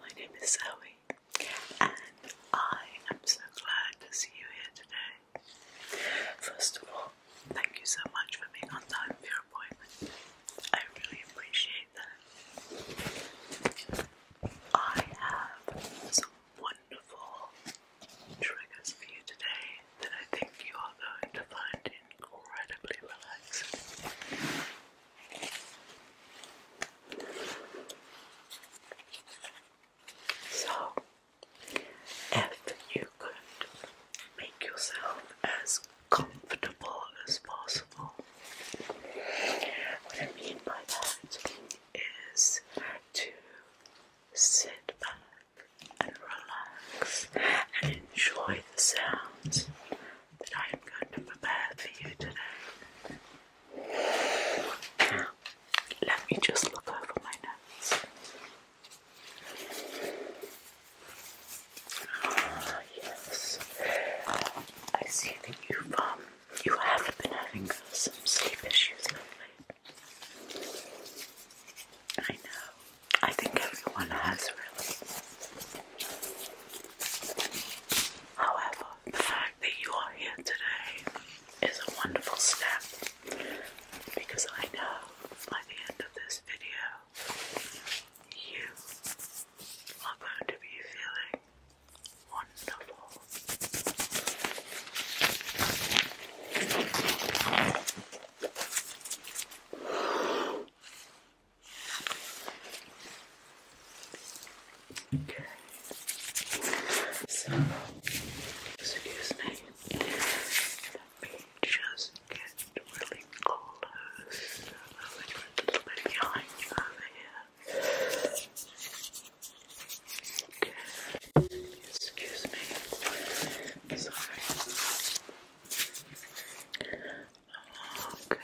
My name is Zoe, and I am so glad to see you here today. First of all, thank you so much for being on time for your appointment. I really appreciate that. I have some wonderful triggers for you today that I think you are going to find incredibly relaxing. So, if you could make yourself as comfortable as possible, what I mean by that is to sit back and relax and enjoy the sounds that I am going to prepare for you today. Now, let me just look over my notes. Ah, yes. I see that you've, um, you have been having some sleep issues lately. I know. I think everyone has, really. However, the fact that you are here today is a wonderful step because I know by the end of this video you are going to be feeling wonderful. Okay. So, excuse me. Let me just get really close. a little bit behind you over here. Okay. Excuse me. Sorry. Okay.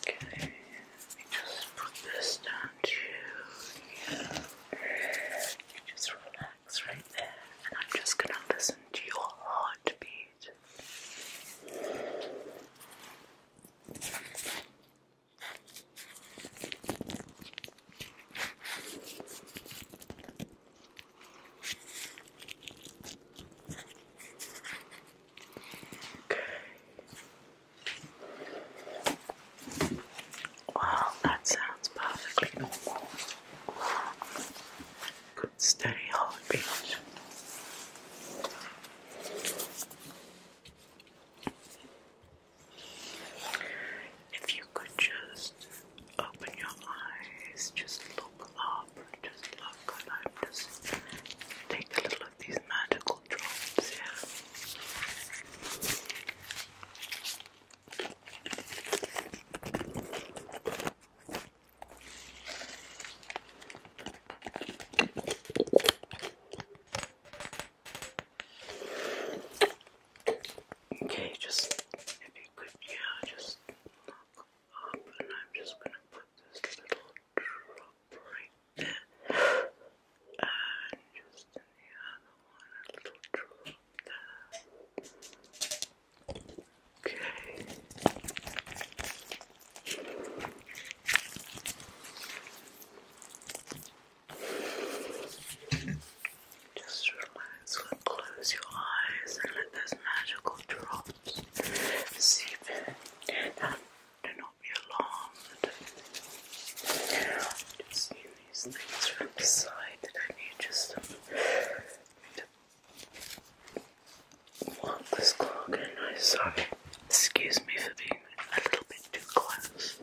Okay, let just put this down to You just relax right there, and I'm just gonna listen to your heartbeat. Okay. that sounds perfectly normal. Good steady heartbeat. If you could just open your eyes, just look up, just look, and take a little of these magical drops Okay, just if you could, yeah, just look up, and I'm just gonna put this little drop right there, and just the other one, a little drop there. Okay. Just relax and close your eyes and let those magical drops seep in. do not be alarmed. just seen these things from the side that I just some to mark the scar again. Excuse me for being a little bit too close.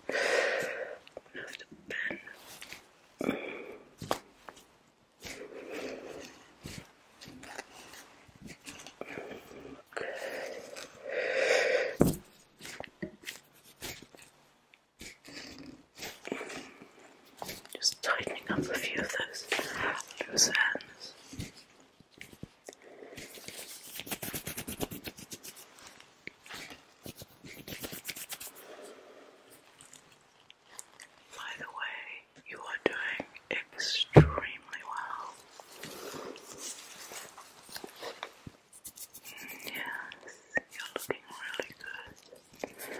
Just tightening up a few of those loose ends. By the way, you are doing extremely well. Mm, yes, you're looking really good.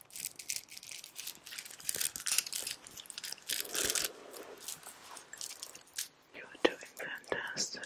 You're doing fantastic.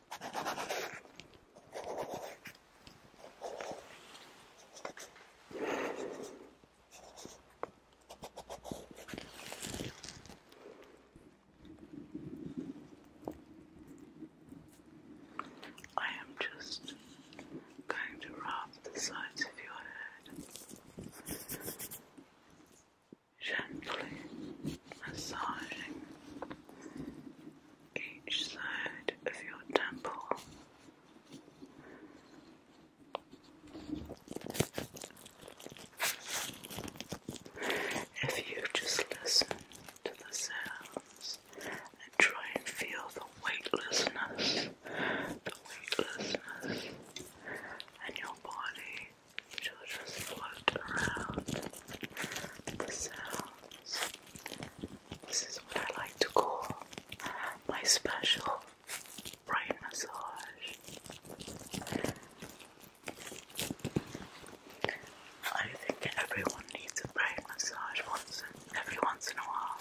I am just going to rub the sides of your head gently massaging each side of your temple. If you just listen to the sounds and try and feel the weightlessness, the weightlessness, and your body children float around the sounds. This is what I like to call my special brain massage. I think everyone needs a brain massage once every once in a while.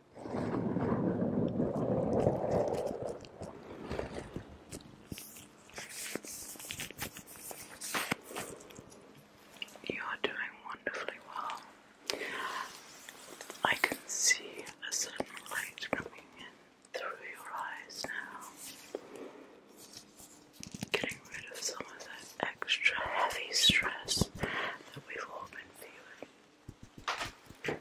You are doing wonderfully well. I can see a certain coming in through your eyes now. Getting rid of some of that extra heavy stress that we've all been feeling.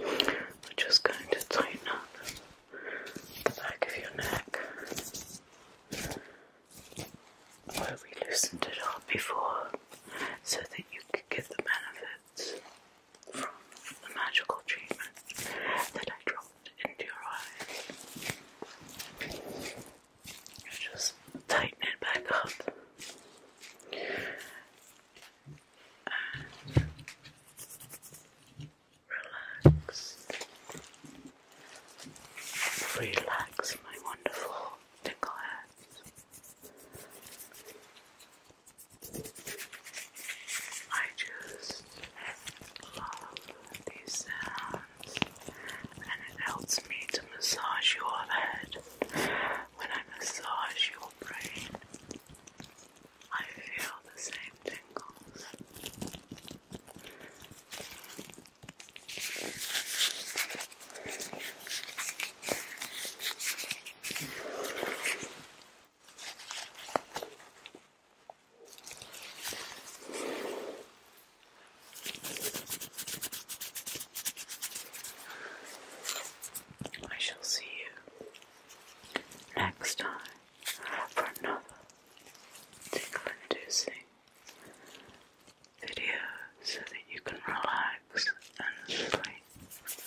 I'm just going to tighten up the back of your neck where we loosened it up before so that you could get the benefits from the magical treatment that I dropped into your eyes just tighten it back up. relax. Relax, my wonderful tickle I just love these sounds and it helps me to massage your head. When I massage your brain, I feel the same tingles. I shall see you next time for another tickle video so that you can relax and sleep.